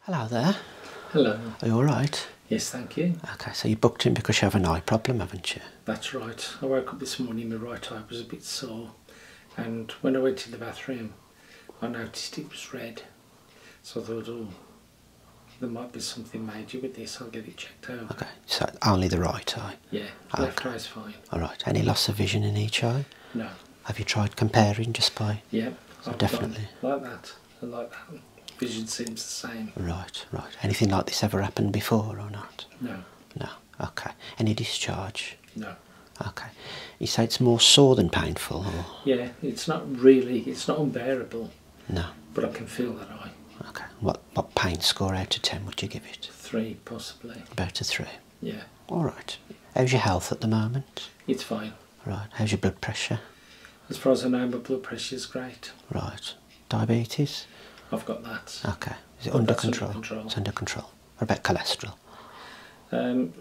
Hello there. Hello. Are you all right? Yes, thank you. Okay, so you booked in because you have an eye problem, haven't you? That's right. I woke up this morning, my right eye was a bit sore, and when I went to the bathroom, I noticed it was red. So I thought, oh, there might be something major with this, I'll get it checked out. Okay, so only the right eye? Yeah, ah, the okay. left fine. All right, any loss of vision in each eye? No. Have you tried comparing just by? Yeah, definitely. Like that, like that. Vision seems the same. Right, right. Anything like this ever happened before or not? No. No. Okay. Any discharge? No. Okay. You say it's more sore than painful, or? Yeah, it's not really. It's not unbearable. No. But I can feel that eye. Okay. What what pain score out of ten would you give it? Three, possibly. About a three. Yeah. All right. How's your health at the moment? It's fine. Right. How's your blood pressure? As far as I know, my blood pressure is great. Right. Diabetes? I've got that. Okay. Is it under control? under control? It's under control. about cholesterol? Um,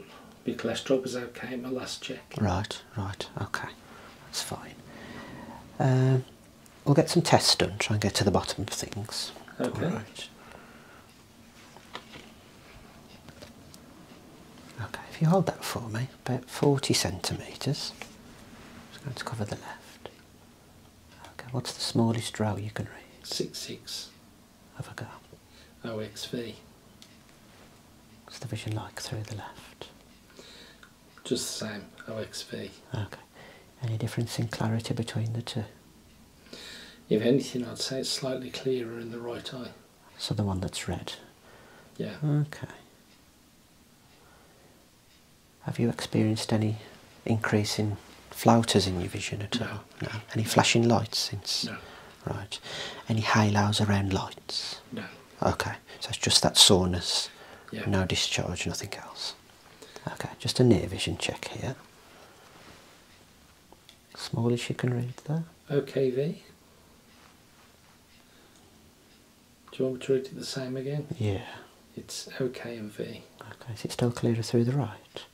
my cholesterol was okay my last check. Right, right, okay. That's fine. Um, we'll get some tests done, try and get to the bottom of things. Okay. All right. Okay, if you hold that for me, about 40 centimetres. It's going to cover the left. Okay, what's the smallest row you can read? Six Six. Have a go. OXV. Oh, what's the vision like through the left? Just the same, OXV. Oh, okay. Any difference in clarity between the two? If anything, I'd say it's slightly clearer in the right eye. So the one that's red? Yeah. Okay. Have you experienced any increase in flouters in your vision at all? No. Any flashing lights since? No. Right. Any halos around lights? No. Okay. So it's just that soreness. Yeah. No discharge, nothing else. Okay, just a near vision check here. Smallish, you can read that. OKV. Do you want me to read it the same again? Yeah. It's OK and V. Okay, It's still clearer through the right?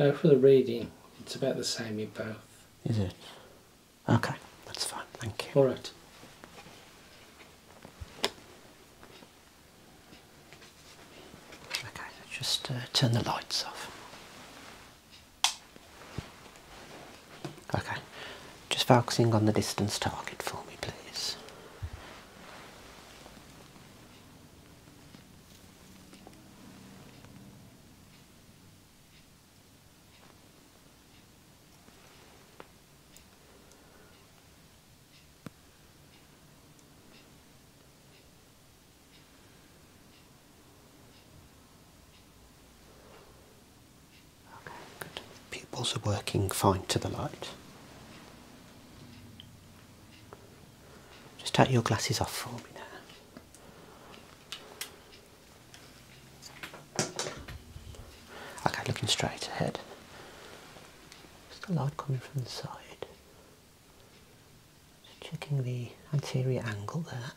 No, for the reading, it's about the same in both. Is it? Okay, that's fine, thank you. Alright. Okay, just uh, turn the lights off. Okay, just focusing on the distance target for me, please. Okay, good. Pupils are working fine to the light. Just take your glasses off for me now. Okay, looking straight ahead. Just the light coming from the side checking the anterior angle there.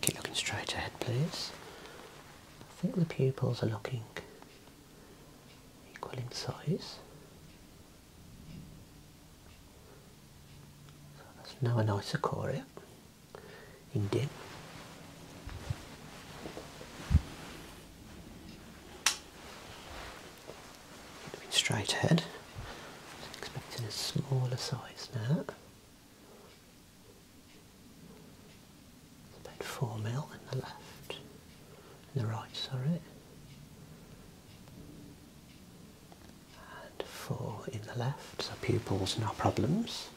Keep looking straight ahead, please. I think the pupils are looking equal in size. So that's now an isochoric eh? in dim. straight ahead. Just expecting a smaller size now. About four mil in the left, in the right, sorry, and four in the left. So pupils, no problems.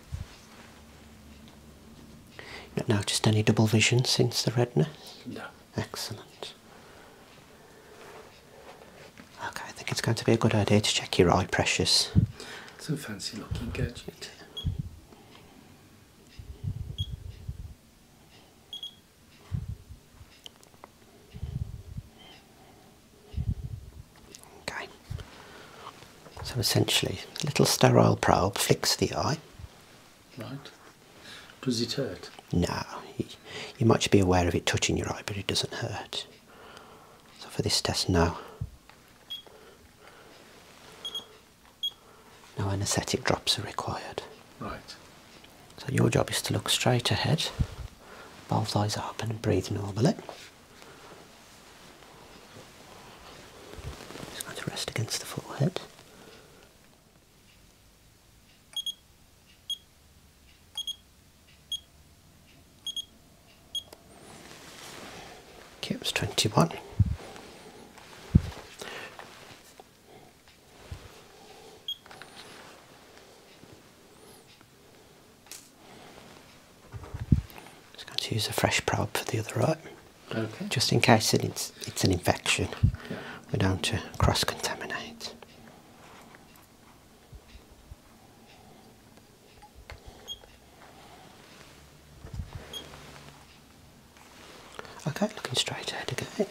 Not noticed any double vision since the redness. No. Excellent. Okay, I think it's going to be a good idea to check your eye pressures. It's a fancy looking gadget. Okay. So essentially, a little sterile probe flicks the eye. Right. Does it hurt? No. You, might be aware of it touching your eye, but it doesn't hurt. So for this test, no. No anaesthetic drops are required. Right. So your job is to look straight ahead, both eyes open and breathe normally. Just going to rest against the forehead. Okay, it was 21. Just going to use a fresh probe for the other eye. Okay. Just in case it's, it's an infection. Yeah. We don't want to cross-contaminate. Okay, looking straight ahead again.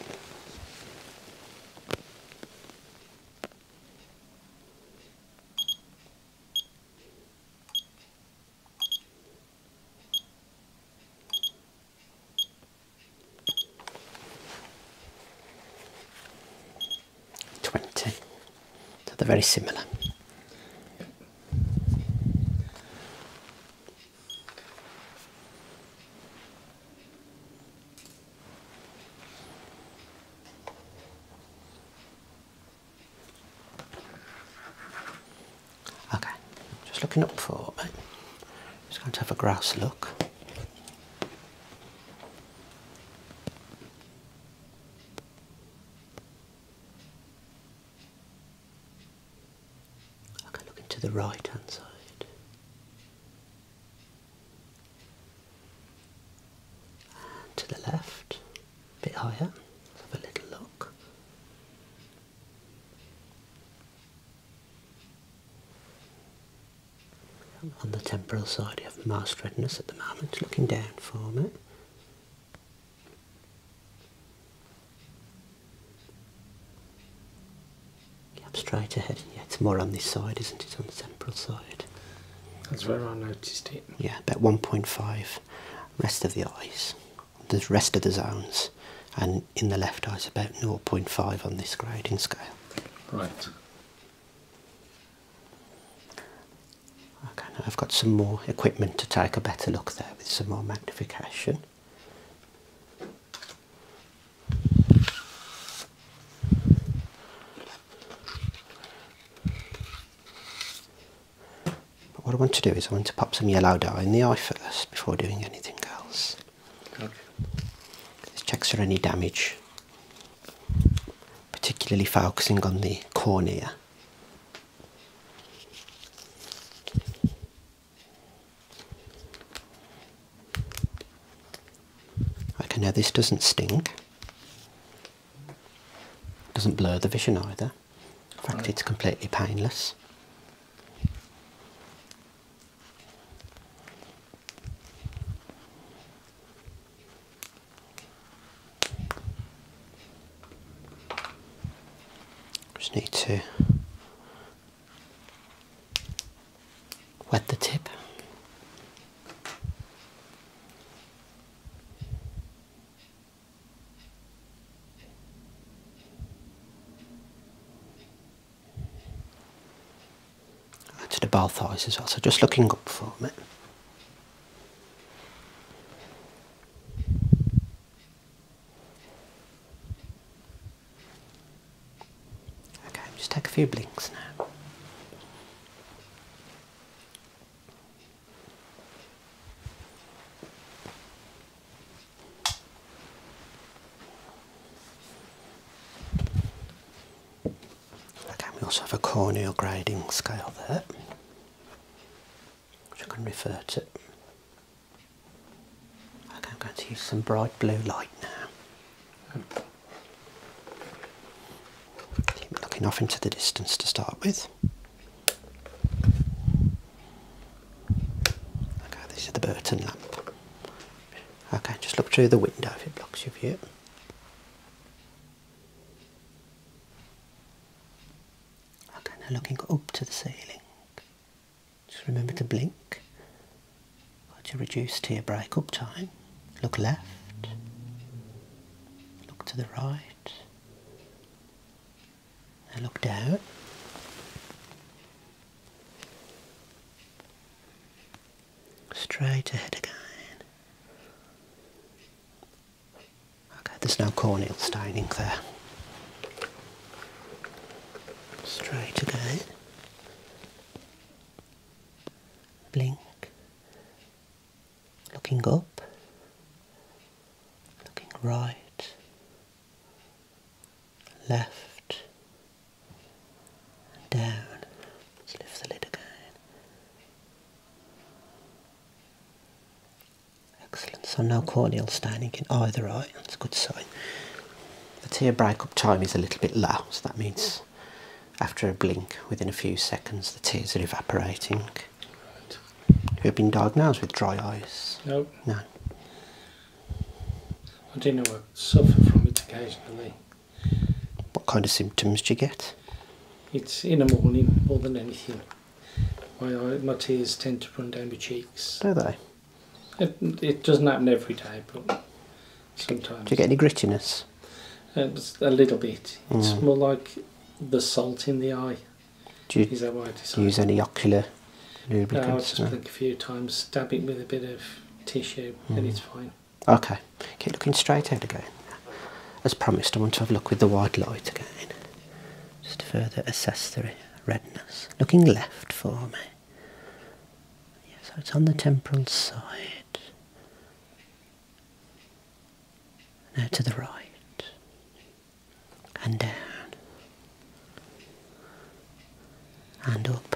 20. So they're very similar. Okay, just looking up for it. Just going to have a grouse look. Okay, looking to the right hand side. to the left, a bit higher. let have a little look on the temporal side you have most redness at the moment, looking down for it. Up straight ahead. Yeah, it's more on this side, isn't it? On the temporal side. That's where I noticed it. Yeah, about 1.5. Rest of the eyes, the rest of the zones, and in the left eye it's about 0.5 on this grading scale. Right. Okay, I've got some more equipment to take a better look there with some more magnification. But what I want to do is I want to pop some yellow dye in the eye first before doing anything else. Okay. This checks for any damage particularly focusing on the cornea. Okay, now this doesn't sting, doesn't blur the vision either. In fact, it's completely painless. Just need to wet the tip to the both eyes as well. So just looking up for me. Okay, just take a few blinks now. Okay, we also have a corneal grading scale there, which I can refer to. Okay, I'm going to use some bright blue light now. looking off into the distance to start with. Okay, this is the Burton lamp. Okay, just look through the window if it blocks your view. Okay, now looking up to the ceiling. Just remember to blink. Got to reduce to your break-up time. Look left. Look to the right. And look down. Straight ahead again. Okay, there's no corneal staining there. Straight again. Blink. Looking up. Looking right. Left down. Let's lift the lid again. Excellent. So no corneal staining in either eye. That's a good sign. The tear breakup time is a little bit low, so that means after a blink, within a few seconds, the tears are evaporating. Right. Have been diagnosed with dry eyes? Nope. No. I do know I suffer from it occasionally. What kind of symptoms do you get? It's in the morning more than anything. My, tears tend to run down my cheeks. Do they? It, doesn't happen every day, but sometimes. Do you get any grittiness? Uh, a little bit. It's mm. more like the salt in the eye. Do you, use any ocular lubricants? No, I just blink a few times, dabbing with a bit of tissue, and hmm. it's fine. Okay, keep looking straight ahead again. As promised, I want to have a look with the wide light again. Just further assess the redness. Looking left for me. Yeah, so it's on the temporal side. Now to the right. And down and up.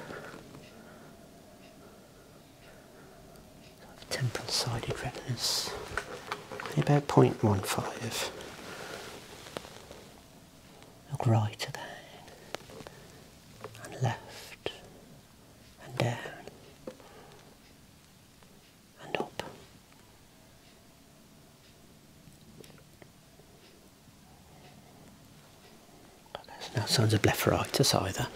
Temporal sided retinas, about 0.15. Look right at the and left, and down, and up. But there's no signs of blepharitis either.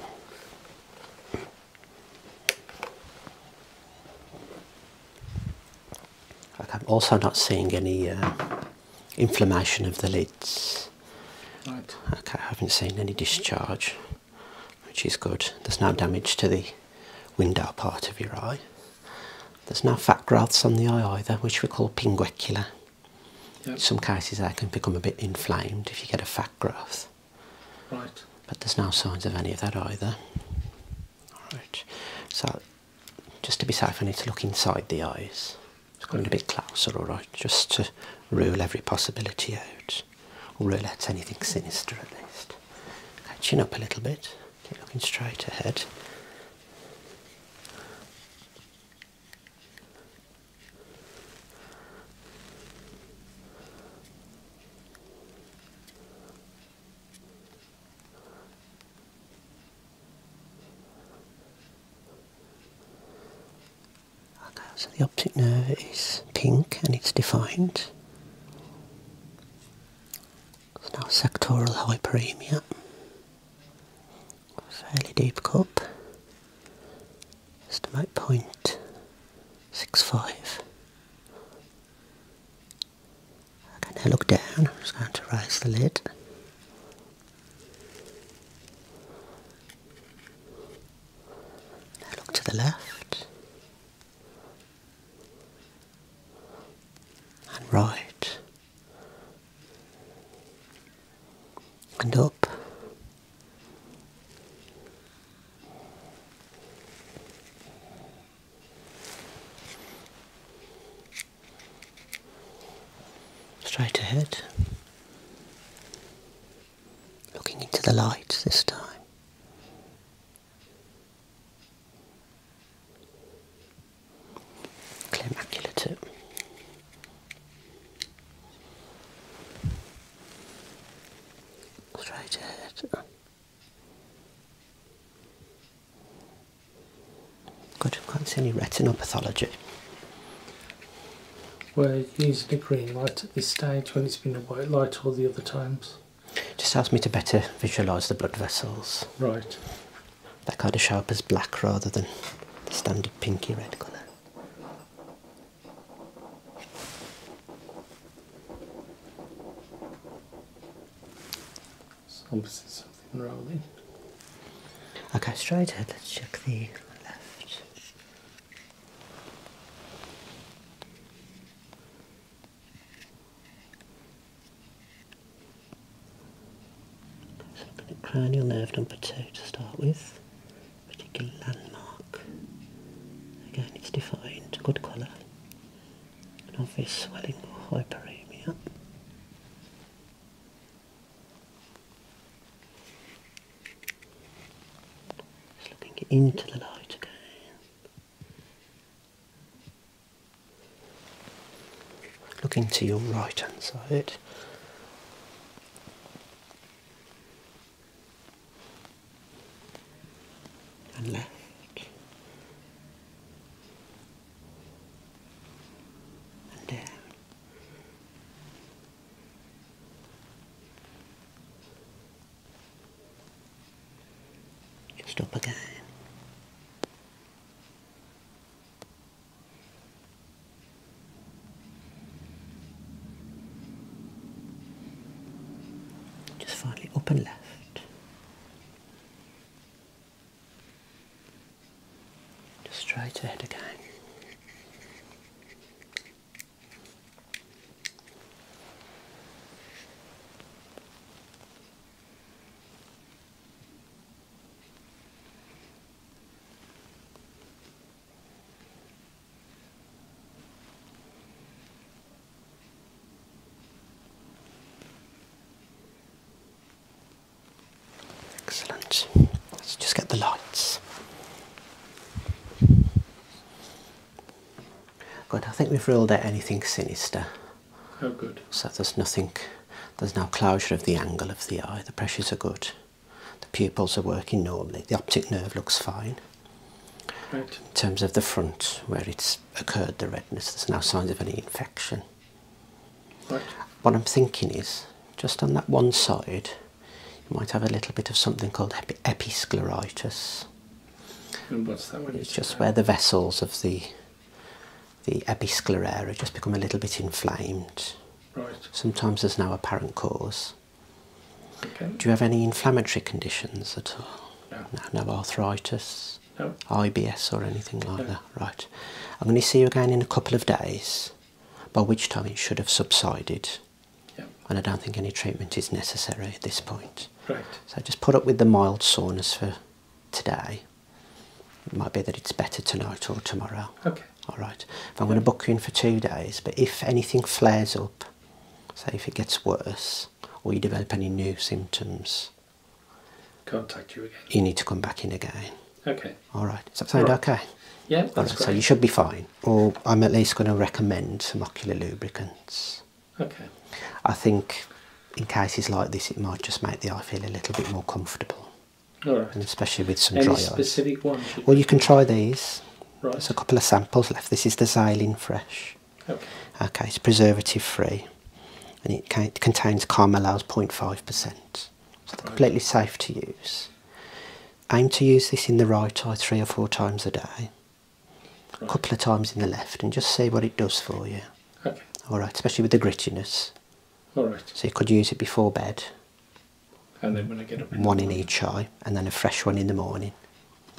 I'm also not seeing any uh, inflammation of the lids. Right. I haven't seen any discharge, which is good. There's no damage to the window part of your eye. There's no fat growths on the eye either, which we call pinguecula. In some cases they can become a bit inflamed if you get a fat growth. Right. But there's no signs of any of that either. Alright. So just to be safe I need to look inside the eyes. It's going okay. a bit closer, alright, just to rule every possibility out. Or rule out anything sinister at least. Okay, chin up a little bit. Keep looking straight ahead. Okay, so the optic nerve is pink and it's defined now sectoral hyperemia. Fairly deep cup. Estimate point six five. Okay, now look down. I'm just going to raise the lid. Now look to the left and right and up. Straight ahead, looking into the light this time. Clear macula too. Straight ahead. Good, I can't see any retinopathology. We're using a green light at this stage when it's been a white light all the other times. Just helps me to better visualise the blood vessels. Right that kind of sharp sharper's black rather than the standard pinky red colour. something rolling. Okay, straight ahead, let's check the left. Looking at cranial nerve number two to start with. Particular landmark. Again, it's defined. Good colour. An obvious swelling or hyperemia. Just looking into the light again. Looking to your right hand side. And left. And down. Just up again. Just finally up and left. Just straight ahead again. Excellent. Let's just get the lights. Good, I think we've ruled out anything sinister. Oh, good. So there's nothing, there's no closure of the angle of the eye. The pressures are good. The pupils are working normally. The optic nerve looks fine. Right. In terms of the front, where it's occurred, the redness, there's no signs of any infection. Right. What I'm thinking is, just on that one side, you might have a little bit of something called episcleritis. It's just where the vessels of the the episclera just become a little bit inflamed. Right. Sometimes there's no apparent cause. Okay. Do you have any inflammatory conditions at all? No. No, arthritis? No. IBS or anything like that? Right. I'm going to see you again in a couple of days, by which time it should have subsided. Yeah. And I don't think any treatment is necessary at this point. Right. So just put up with the mild soreness for today. It might be that it's better tonight or tomorrow. Okay. All right. If I'm going to book you in for two days, but if anything flares up, say if it gets worse or you develop any new symptoms, contact you again. You need to come back in again. Okay. All right. Does that sound okay? Yeah, that's right, So you should be fine. Or I'm at least going to recommend some ocular lubricants. Okay. I think in cases like this, it might just make the eye feel a little bit more comfortable. And especially with some Any specific ones? Well, you can try these. Right. There's a couple of samples left. This is the Xylene Fresh. Okay. Okay, it's preservative free. And it, can, it contains Carmelo's 0.5%. So they're completely safe to use. Aim to use this in the right eye three or four times a day a couple of times in the left and just say what it does for you. Okay. All right, especially with the grittiness. All right. So you could use it before bed. And then when I get up. one in each eye, and then a fresh one in the morning.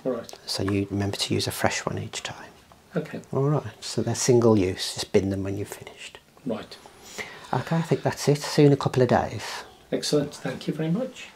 All right. So you remember to use a fresh one each time. Okay. All right. So they're single use. Just bin them when you are finished. Right. Okay, I think that's it. See you in a couple of days. Excellent. Thank you very much.